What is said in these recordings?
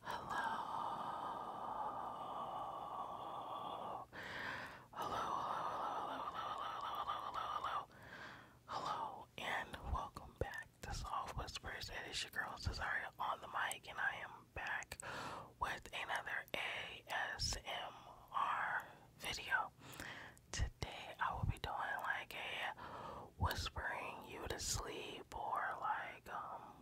Hello. Hello, hello, hello, hello, hello, hello, hello, hello, and welcome back to Soft Whispers. It is your girl Cesaria on the mic, and I am back with another ASMR video. Today, I will be doing like a whispering you to sleep or like, um,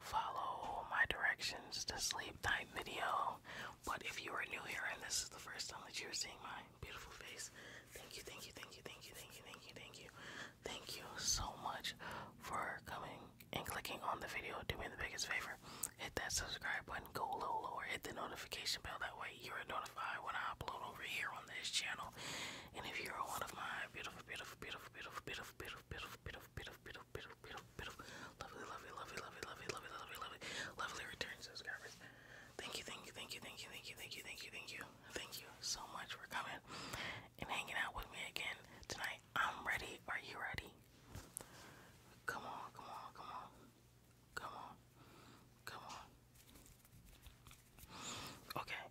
Follow my directions to sleep type video. But if you are new here and this is the first time that you are seeing my beautiful face, thank you, thank you, thank you, thank you, thank you, thank you, thank you, thank you so much for coming and clicking on the video. Do me the biggest favor. Hit that subscribe button, go low, lower, hit the notification bell. That way you are notified when I upload over here on this channel. And if you're one of my beautiful, beautiful, beautiful beautiful, beautiful, beautiful, beautiful, beautiful, beautiful, beautiful, beautiful, beautiful, lovely, lovely, lovely, lovely, lovely, lovely, lovely, lovely, lovely return subscribers. Thank you, thank you, thank you, thank you, thank you, thank you, thank you, thank you, thank you so much for coming and hanging out with me again tonight. I'm ready. Are you ready? Come on, come on, come on, come on, come on. Okay.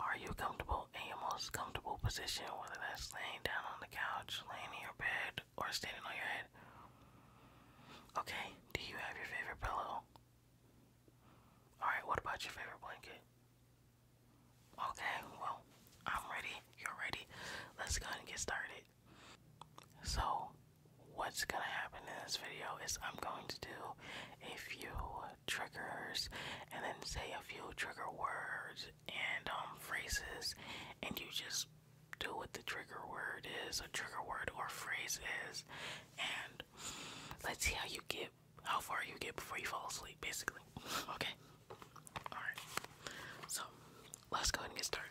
Are you comfortable in your most comfortable position, whether that's laying down on the couch, laying in your bed, or standing on your head? Okay. Do you have your favorite pillow? Alright, what about your favorite blanket? Okay, well, I'm ready. You're ready. Let's go and get started. So, what's gonna happen in this video is I'm going to do a few triggers and then say a few trigger words and um, phrases and you just do what the trigger word is, a trigger word or phrase is, and let's see how you get, how far you get before you fall asleep, basically. Okay? Alright. So, let's go ahead and get started.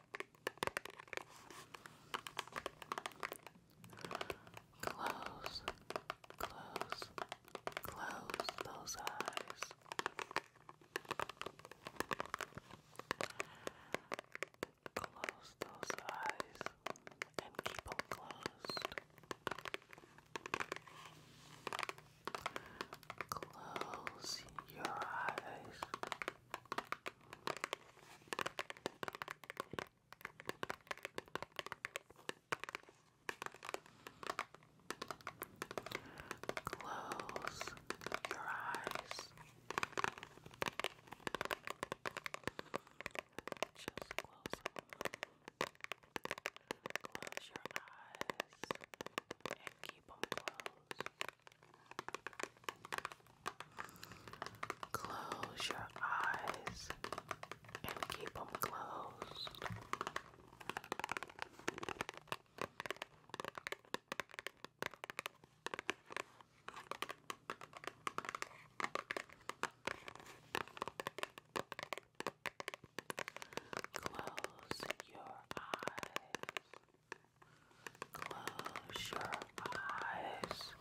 Close, close, close those eyes. Close those eyes and keep them closed. Close your eyes. Close your eyes. Just close them. Close your eyes and keep them closed. Close your eyes and keep them closed. Close your eyes. Close your eyes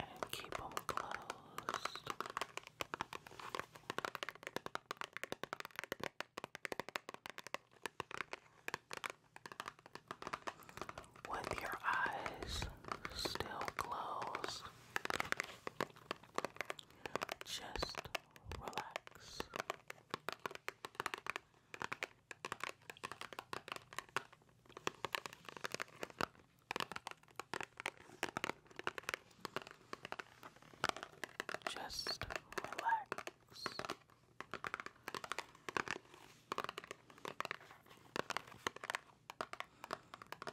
and keep them closed. With your eyes still closed, just relax. Just relax.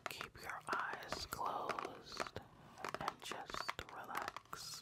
Keep your eyes closed and just relax.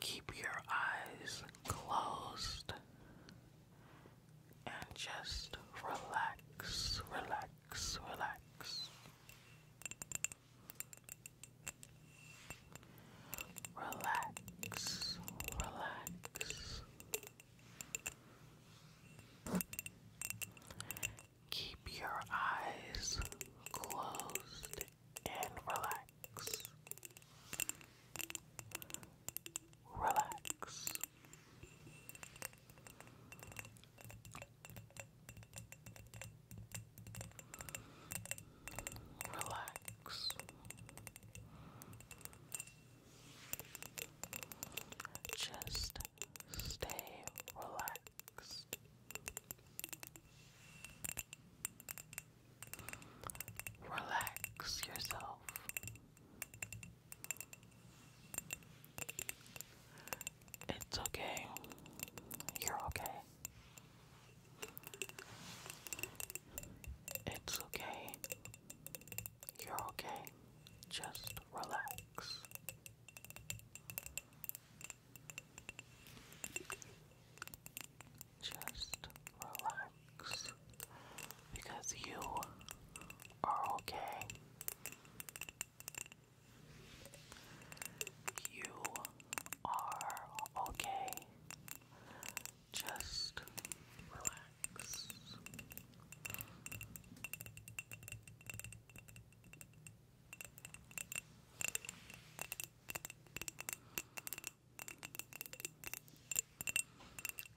Keep your eyes closed and just relax, relax, relax. Relax, relax. Keep your eyes closed and relax. Relax. Relax. Just stay relaxed. Relax yourself. It's okay. You're okay. It's okay. You're okay. Just relax. Just relax because you are okay. You are okay. Just relax.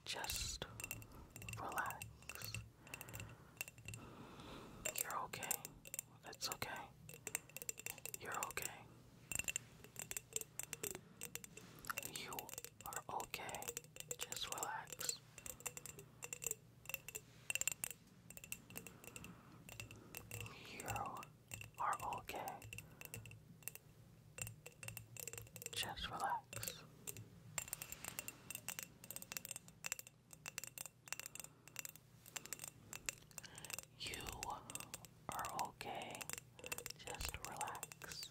Just relax. You're okay. It's okay. You're okay. You are okay. Just relax. You're are okay. Just relax. You are okay. Just relax.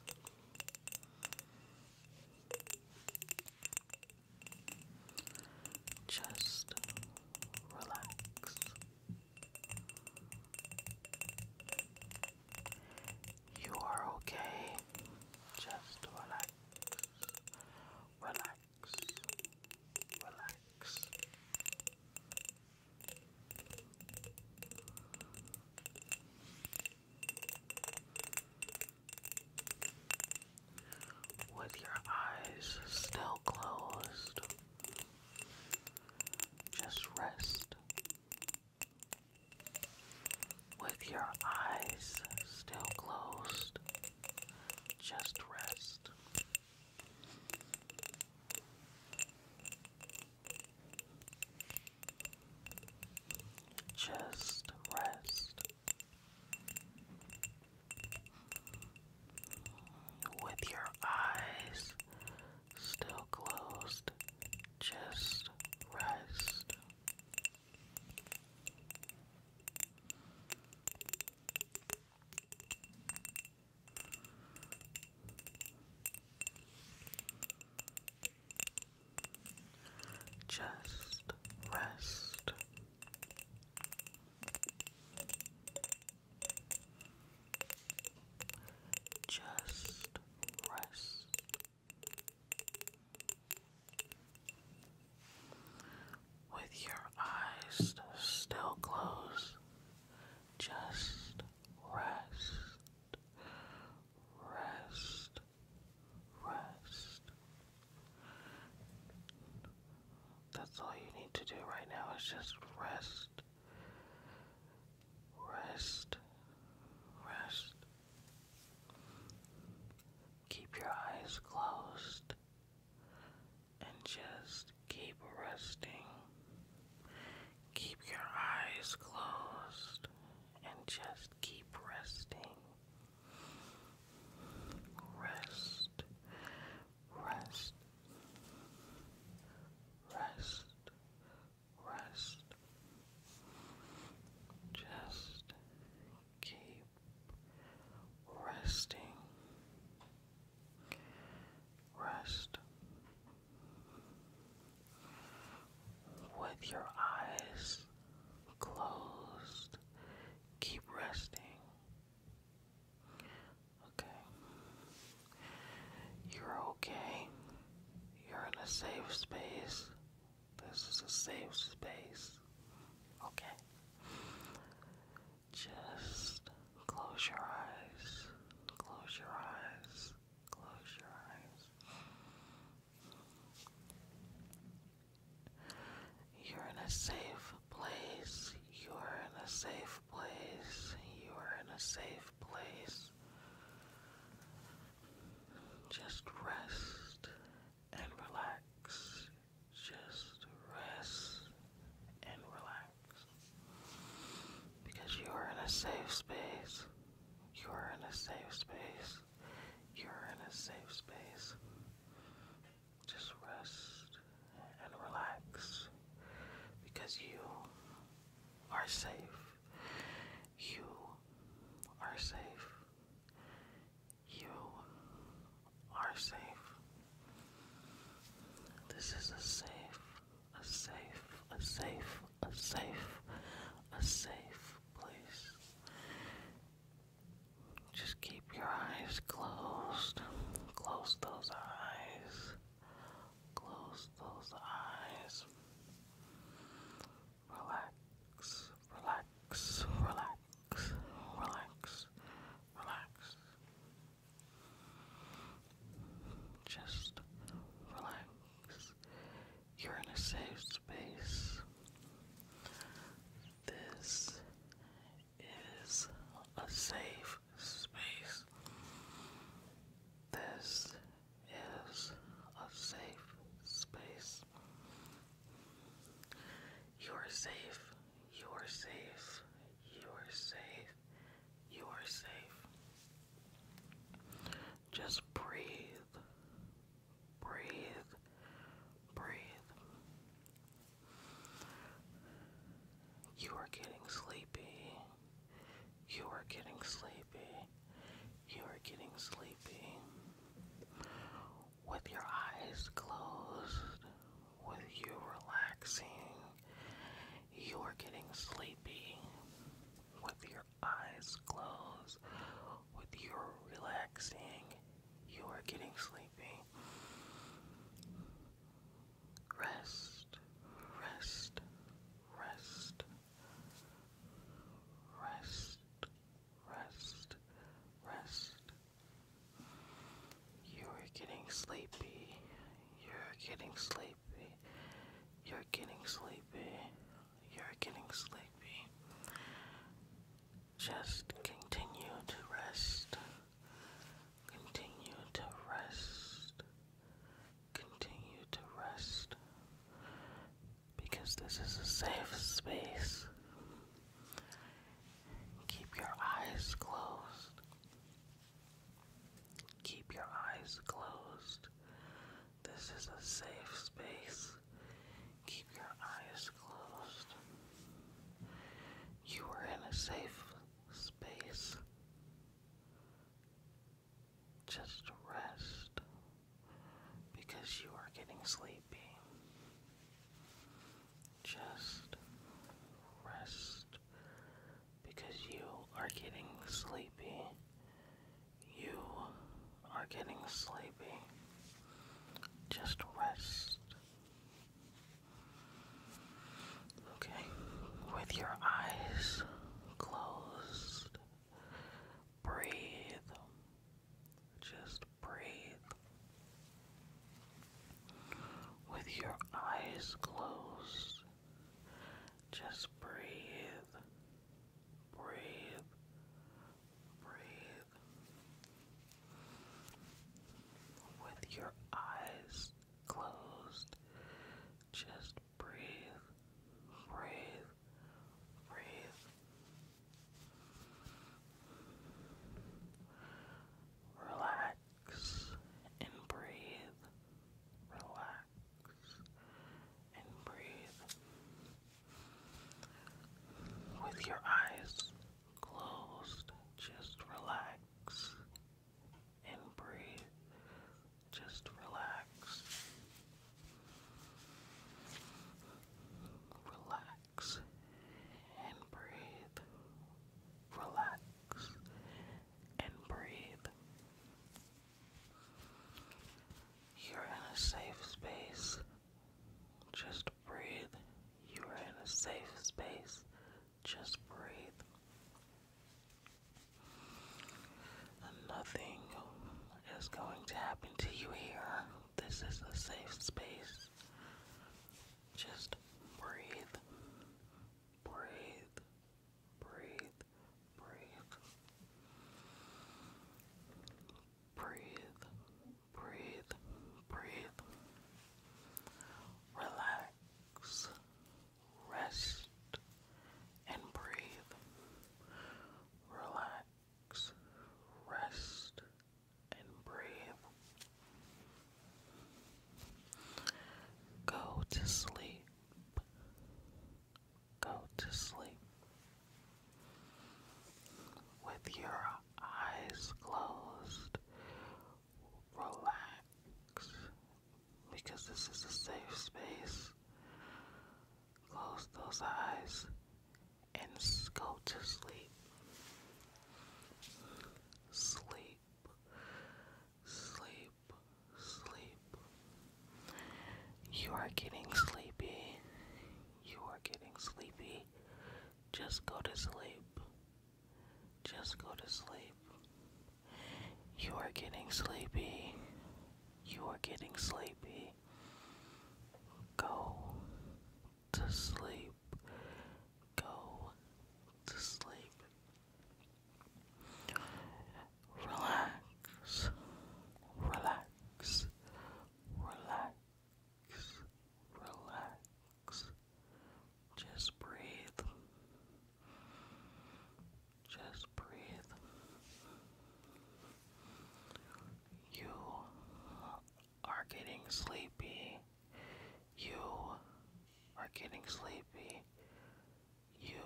Just relax. You are okay. Just relax. Relax. Relax. With your eyes still closed, just rest. With your eyes still closed, just rest. Just rest with your eyes still closed, just rest. Just rest. Just rest. With your eyes still closed, just rest, rest, rest. That's all you need to do right now is just rest. Rest. Rest. Keep your eyes closed and just keep resting. Keep your eyes closed and just keep resting. Rest, rest, rest, rest. Just keep resting. Rest with your eyes closed. Keep resting. Okay. You're okay. You're in a safe space. This is a safe space. Okay. Just close your eyes. Close your eyes. Close your eyes. You're in a safe place. You're in a safe place. You are in a safe place. Just rest and relax. Just rest and relax. Because you are in a safe space. You are in a safe space. You're in a safe space just rest and relax because you are safe. You are safe. You are safe. This is a safe, a safe, a safe, a safe, a safe place. Just keep your eyes closed. Close those eyes. Close those eyes. Relax, relax, relax, relax, relax. Just relax. You're in a safe space. This is a safe space. This is a safe space. You are safe. You are safe. You are safe. You are safe. Just breathe. Breathe. Breathe. You are getting sleepy. You are getting sleepy. You are getting sleepy. With your eyes closed, with you relaxing, you are getting sleepy. With your eyes closed, with you relaxing, you are getting sleepy. Rest, rest, rest, rest, rest, rest. You're getting sleepy. You're getting sleepy. You're getting sleepy. You're getting sleepy. Just continue to rest. Continue to rest. Continue to rest. Because this is a safe space. Keep your eyes closed. Keep your eyes closed. This is a safe space. Keep your eyes closed. You are in a safe space just rest because you are getting sleepy. Just rest because you are getting sleepy. You are getting sleepy. Just rest. Okay, with your eyes closed, breathe. Just breathe. With your eyes closed, just breathe. Breathe. Breathe. With your eyes closed. Just breathe, breathe, breathe. Relax and breathe. Relax and breathe. With your eyes closed, just relax and breathe. Just relax. Relax and breathe. Relax and breathe. You're in a safe space. Just breathe. You're in a safe space. Just breathe. Nothing is going to happen to you here. This is a safe space. Just breathe. Breathe. Breathe. Breathe. Breathe. Breathe. Breathe. Relax rest, and breathe. Relax, rest, and breathe. Go to sleep. Go to sleep. With your eyes closed, relax because this is a safe space. Close those eyes and go to sleep. Sleep, sleep, sleep. You are getting sleepy. You are getting sleepy. Just go to sleep. Just go to sleep. You are getting sleepy. You are getting sleepy. Go to sleep. Go to sleep. Relax. Relax. Relax. Relax. Just breathe. Just breathe. You are getting sleepy. You are getting sleepy. You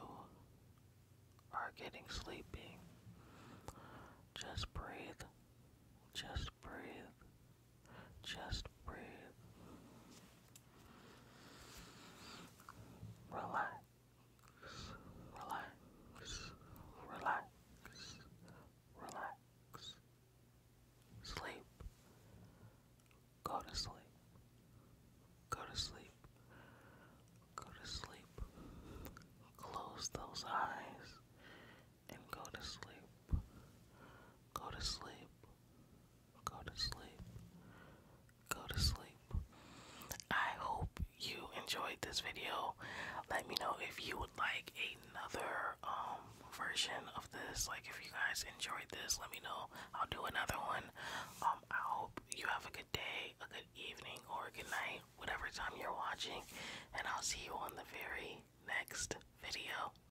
are getting sleepy. Just breathe. Just just breathe. Just breathe. Relax. Relax. Relax. Relax. Sleep. Go to sleep. Go to sleep. Go to sleep. Close those eyes and go to sleep. Go to sleep. Go to sleep. Go to sleep. I hope you enjoyed this video. Let me know if you would like another um version of this. Like if you guys enjoyed this, let me know. I'll do another one. Um I hope you have a good day, a good evening, or a good night, whatever time you're watching, and I'll see you on the very next video.